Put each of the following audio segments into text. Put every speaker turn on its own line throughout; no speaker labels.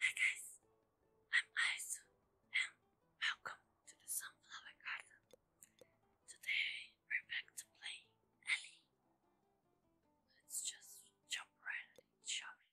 Hi guys, I'm Aisu and welcome to the Sunflower Garden. Today we're back to play Ellie. Let's just jump right at shall we?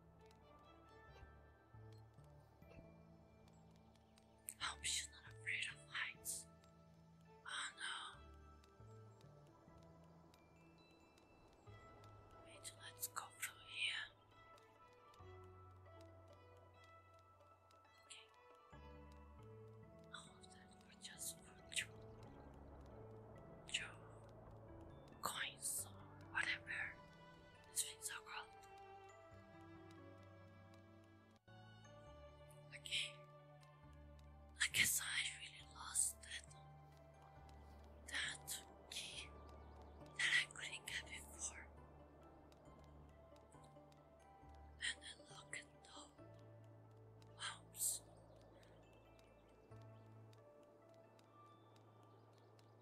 I hope she's not afraid of heights. Oh no. let's go through here. Okay. All of that were just virtual. Joe coins or whatever. His wings are gone. Okay. I guess I really lost that that key that I couldn't get before. And then look at those bumps.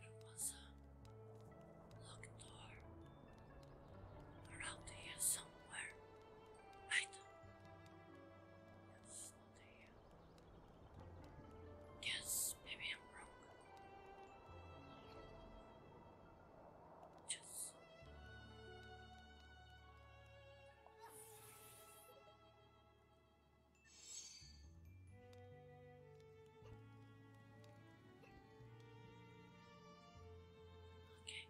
There was a locked door around here somewhere. Right? It's
not here. Guess maybe I'm wrong.
Just. Okay.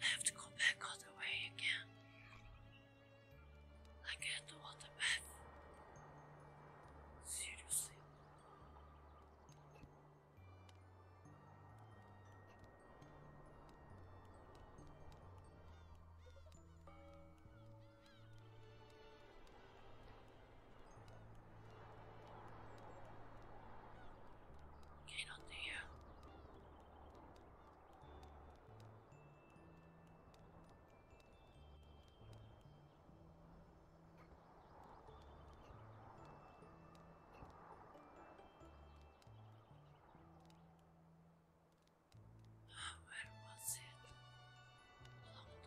I have to go back all the way again. I can't do all the math. Seriously.
Get on there.
Ah, was it? Long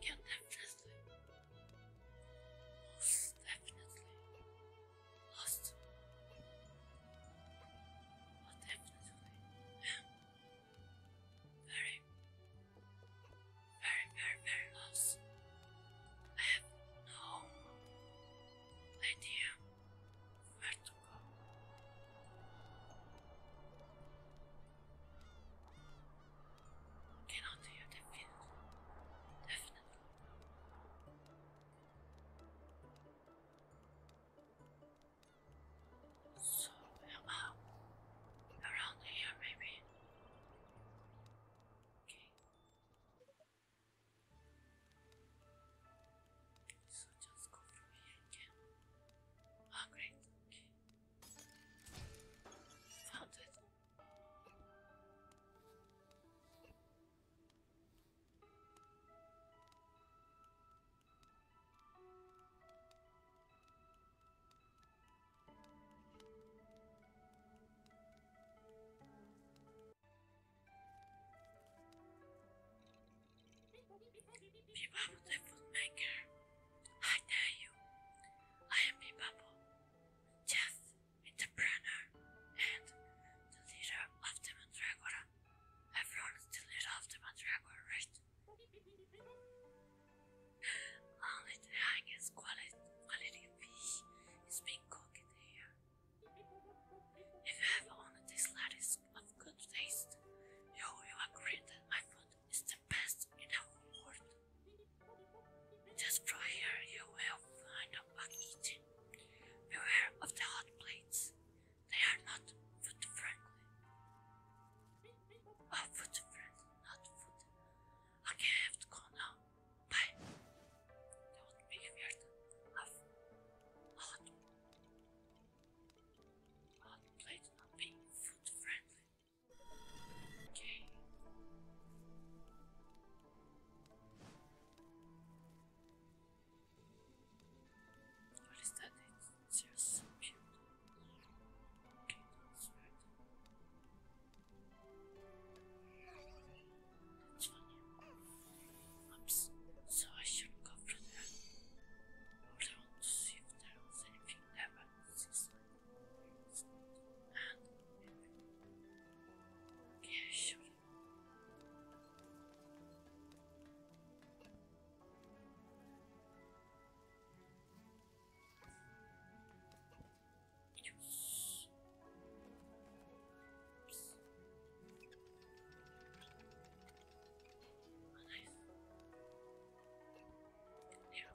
yeah, definitely. Most definitely. Most. Most definitely. Very, very, very, very lost. I have no idea where to go. Cannot hear
the definitely. So, about uh,
around here, maybe. Okay. So just go from here again. Ah, great. Okay. Found it. Bebop the Footmaker. I dare you. I am Bebop, chef, entrepreneur, and the leader of the Mandragora. Everyone is the leader the Mandragora, right? Only the highest quality, quality fish is being cooked here. If you have only this lattice of good taste, you will agree that my food is the best in the world. Just from here you will find a bug eating, beware of the hot plates, they are not food friendly. Oh, food friendly, not food. Okay, I have to go now. Bye. That would be weird. i not, not played not being food friendly. Okay. What is that? it's just so cute. Okay, that's right. That's funny. Oops, so I shouldn't go for that. Hold to see if there was anything Little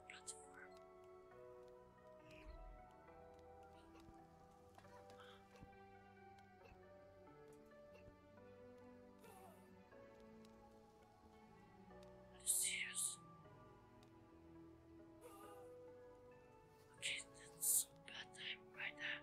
platform. Lucius. Okay, that's a bad time right now.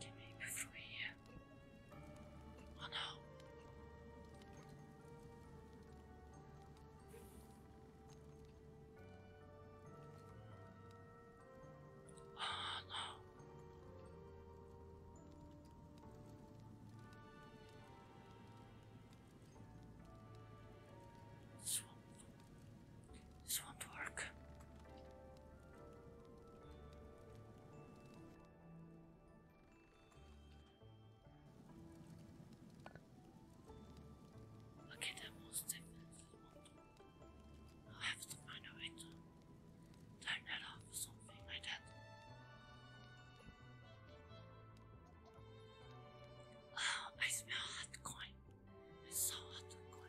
Can we move from here? Oh this won't, work. Okay, that most definitely will I'll have to find out later. Turn that off or something like that. Oh, I smell hot coin. It's so hot coin.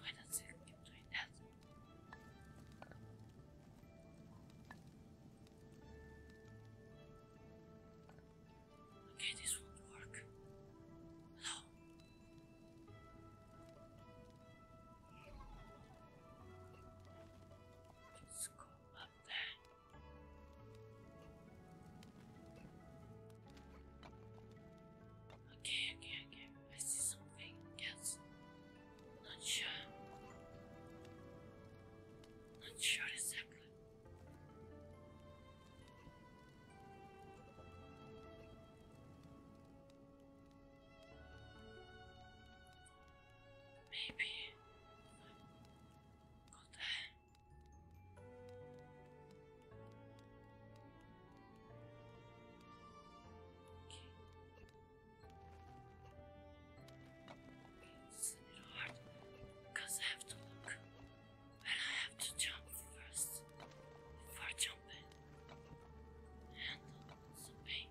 Why does it keep doing that?
Okay, this won't work. Hello?
Let's go up there. Okay, okay, okay. I see something else. Not sure. Not sure exactly. Maybe go It's a little hard because I have to look and I have to jump first before jumping. And uh, it's pain.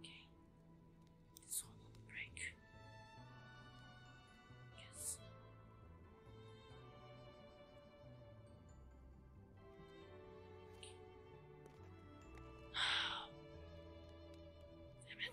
Okay, it's almost break. Yes.
Okay. Damn it.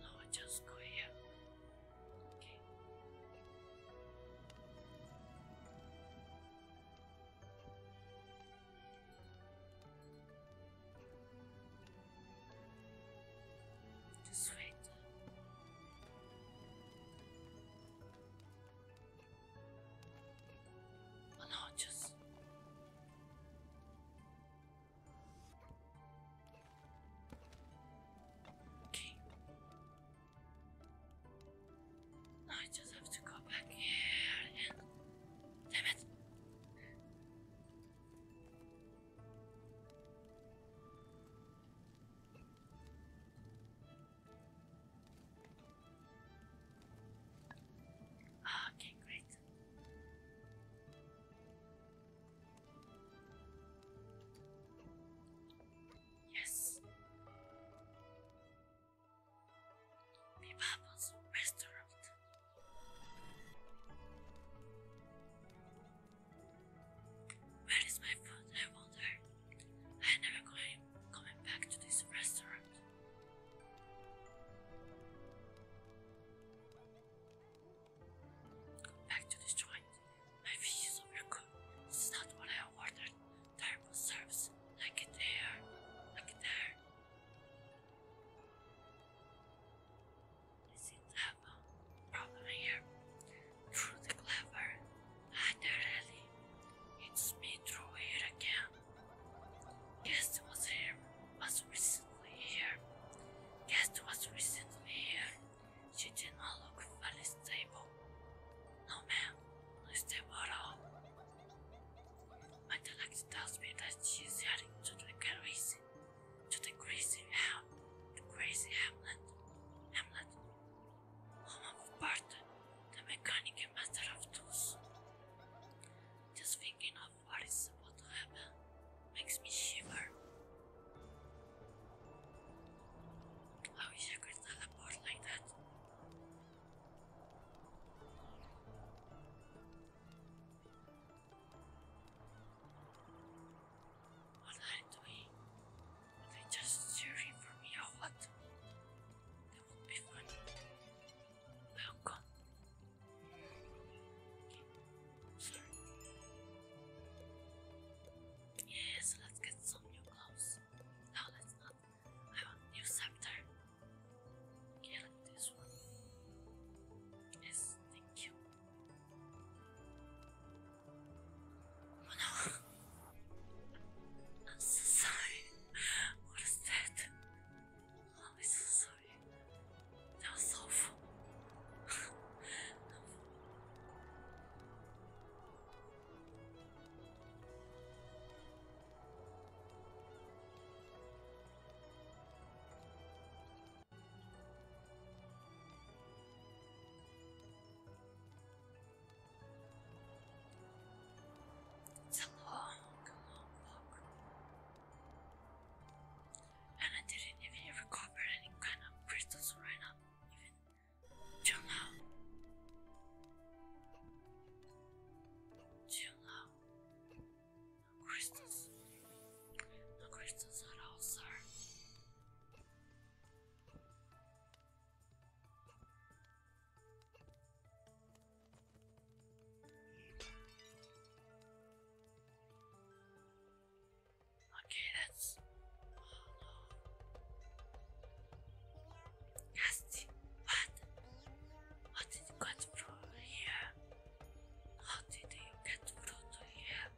No, just go here. Okay. This oh, no, just Okay. I just have to go back here Damn it! Okay, great. Yes. The Bubbles Restaurant. Where is my food? I wonder. I never going coming back to this restaurant. Back to this My fish overcooked. This is not what I ordered. Terrible service. Like it there. Like it there. I to have a problem here. Through clever. Ah, It's me through here again. Guest was here. Was recently here. Guest was recently here. She did not look very stable. No, man not stable at all. My dialect tells me that she's is heading to the crazy, to the crazy ham, the crazy hamlet, hamlet, home of Bart, the mechanic matter of tools. Just thinking of what is about to happen makes me shiver. I wish I could teleport like that. What are they they just cheering for me or what? That would be fun. Now yeah, let's get some new clothes. No, oh, let's not. I want new scepter. Okay, like this one. Yes, thank you. Oh no! I'm sorry. What is that? Oh, I'm so sorry. That was it's a And I didn't even recover any kind of crystals right now too low. Too low. No crystals. No crystals at all, sir. Okay, that's Nasty. What? What did you get through here? How did you get through to here?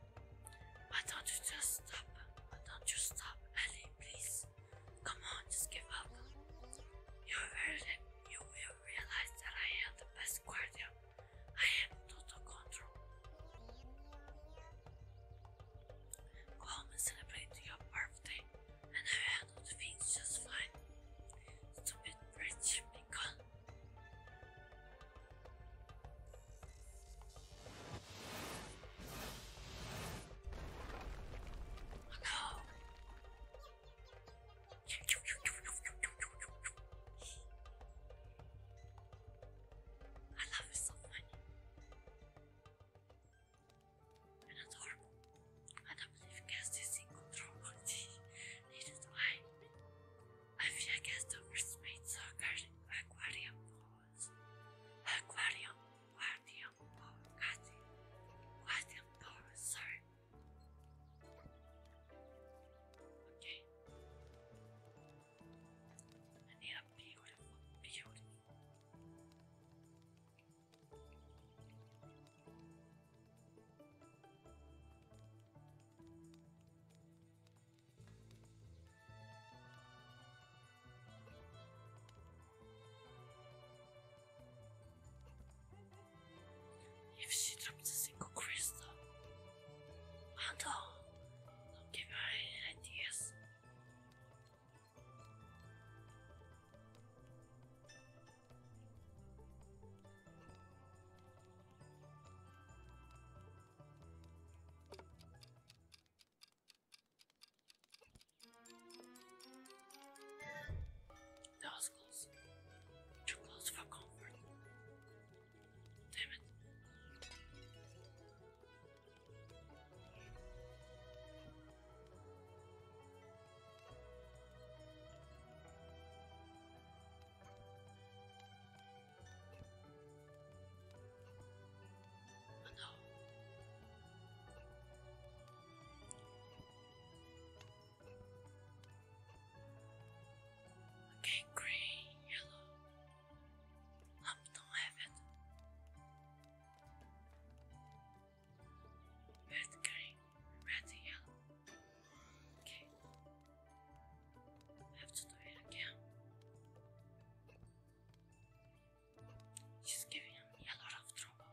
Why don't you just stop? Why don't you stop, Ellie, please? Come on, just give up. You will, you will realize that I am the best guardian I have total control. Go home and celebrate your birthday, and I handled things just fine. Stupid rich beacon. Oh no! I love you so much. And adorable. I don't believe you guys this in control on Neither I. I feel I guess the worst made aquarium Aquarium, aquarium aquarium, aquarium sorry. Okay. And they are beautiful, beautiful. If she drops a single crystal, Uncle, don't give her any ideas. Nostrils, too close for comfort. Damn it. Oh okay, grey, yellow, up to heaven. Red green, red yellow. Okay. I have to do it again. She's giving me a lot of trouble.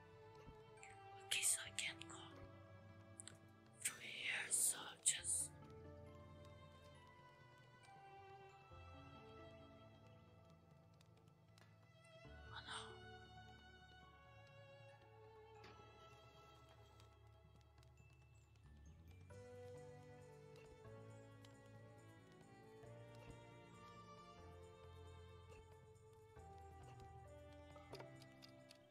Okay, so I can't go from here, so just Oh no.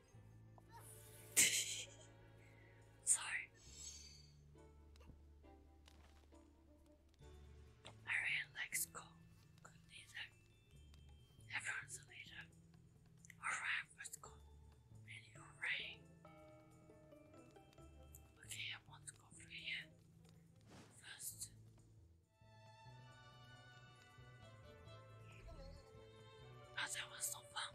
Sorry. I really like school. Good leader. Everyone's a leader. Alright, let's go. And you're Okay, I want to go First. Ah, that was so fun.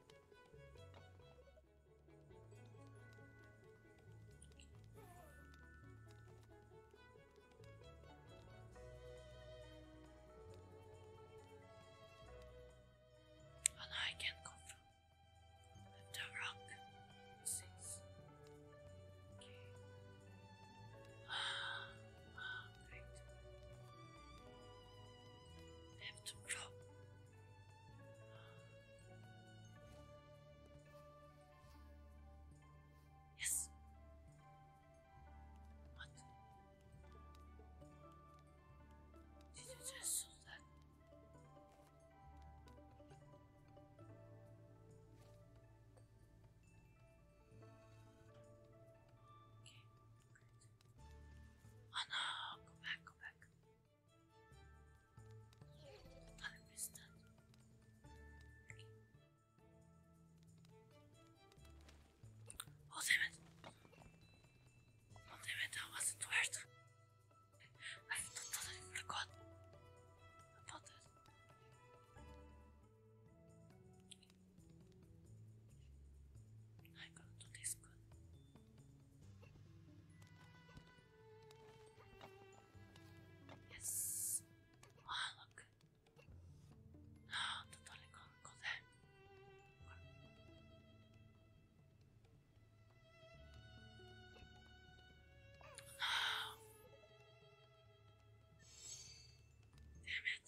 Oh no, I can't go the rock. Six. Okay. Ah, ah, I have to go. Yes. What? Did you just saw that? Okay, Oh no, go back, go back. I missed that. Oh damn it! Oh damn that wasn't worth I've not totally forgot about that. I got to this Yes. Ah, look. Ah, oh, totally go, go there. Ah. Damn it.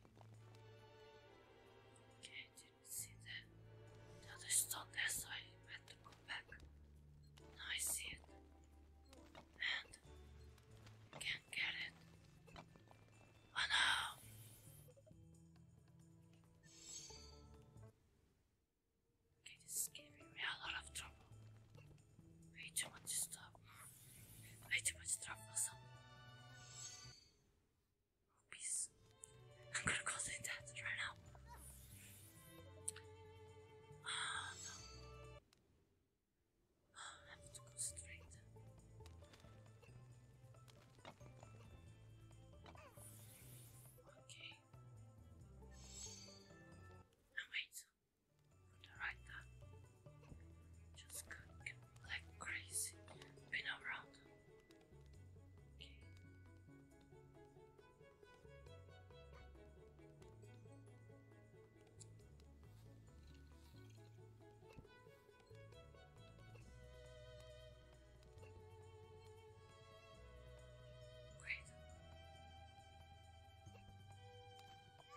Okay, I didn't see that.
The other stone there, so I had to go
back. Now I see it. And can't get it. Oh no! Okay, this is giving me a lot of trouble. Way too much stuff. I Way too much troublesome. Rupees. I'm gonna call it that right now. Ah, oh, no. Oh, to go Okay. And wait. On the just cooking like crazy. Been around. Okay. Great.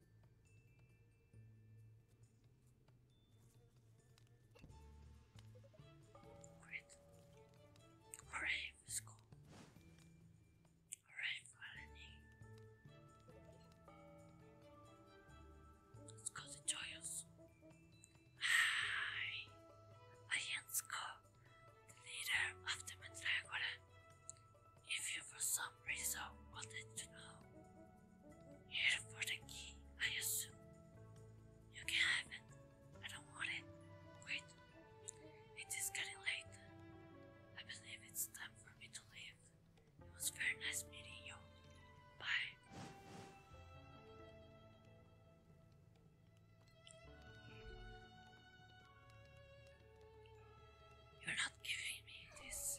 Alright. Alright, let's go. Alright, finally. Let's go to Joyous. Hi! I the leader of the Mandragora. If you for some reason wanted to know, here for the key, I assume. You can have it. I don't want it. Wait. It is getting late. I believe it's time for me to leave. It was very nice meeting you. Bye. You're not giving me this.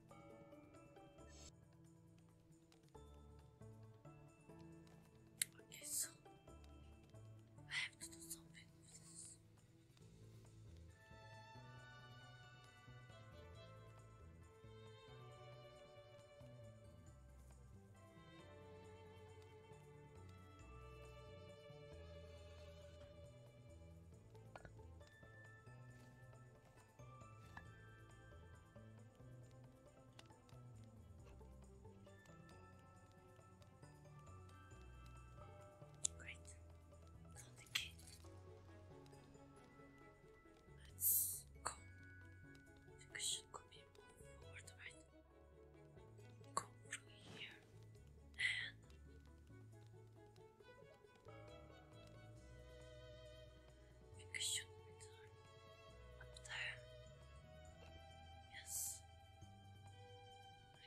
Okay, so I have to do something with this. Right. Now Let's go. The cushion could be moved forward, right? Go through here and Think you should up there. Yes.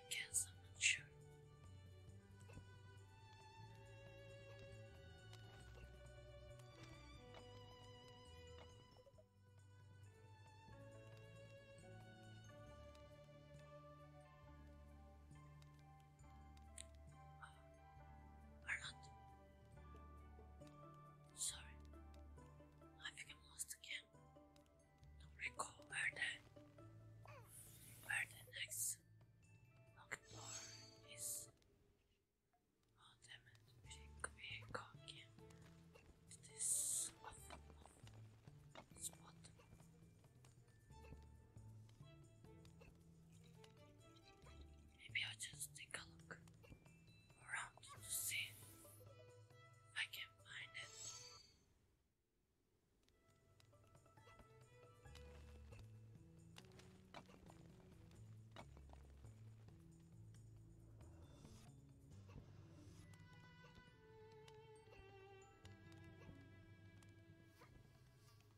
I guess I'm not sure i are not sorry I became lost again don't recall where the where the next locked door is oh, damn it we could be caught again this spot Maybe I'll just take a look around to see if I can find it.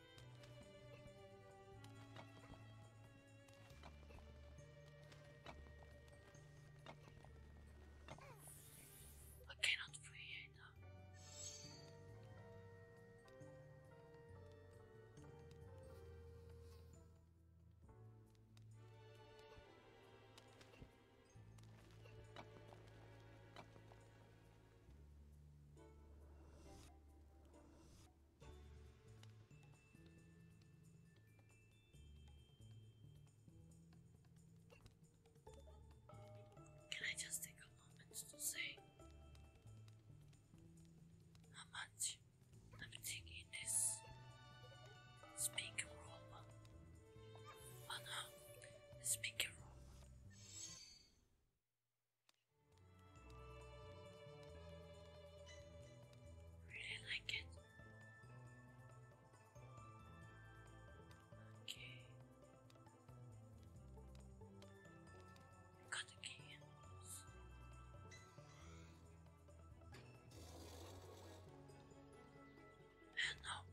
I cannot breathe. Can I just take a moment to say how much everything in this speaker room? Oh no, speaker room. Really like it. Okay. Got the cans. And no.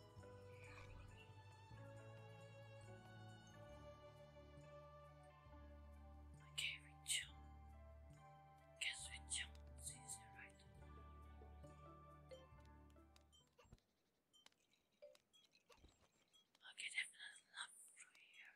Okay, we jump. Guess we jump. It's easy, right?
Okay, definitely not through here.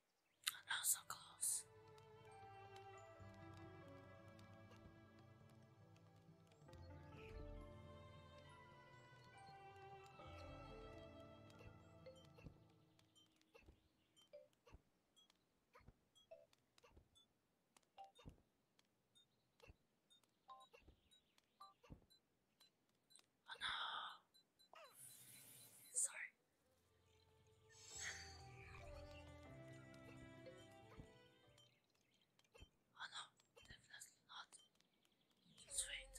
Oh, so close. Oh no. Sorry. Oh no, definitely not. wait.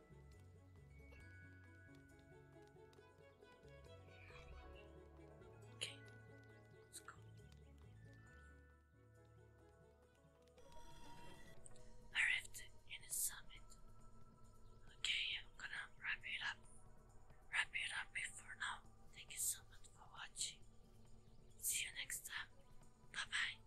Okay, let's go.
Arrived in the summit. Okay, I'm gonna wrap it up. Wrap it up before now. Thank you so much for watching. See you next time. Bye bye.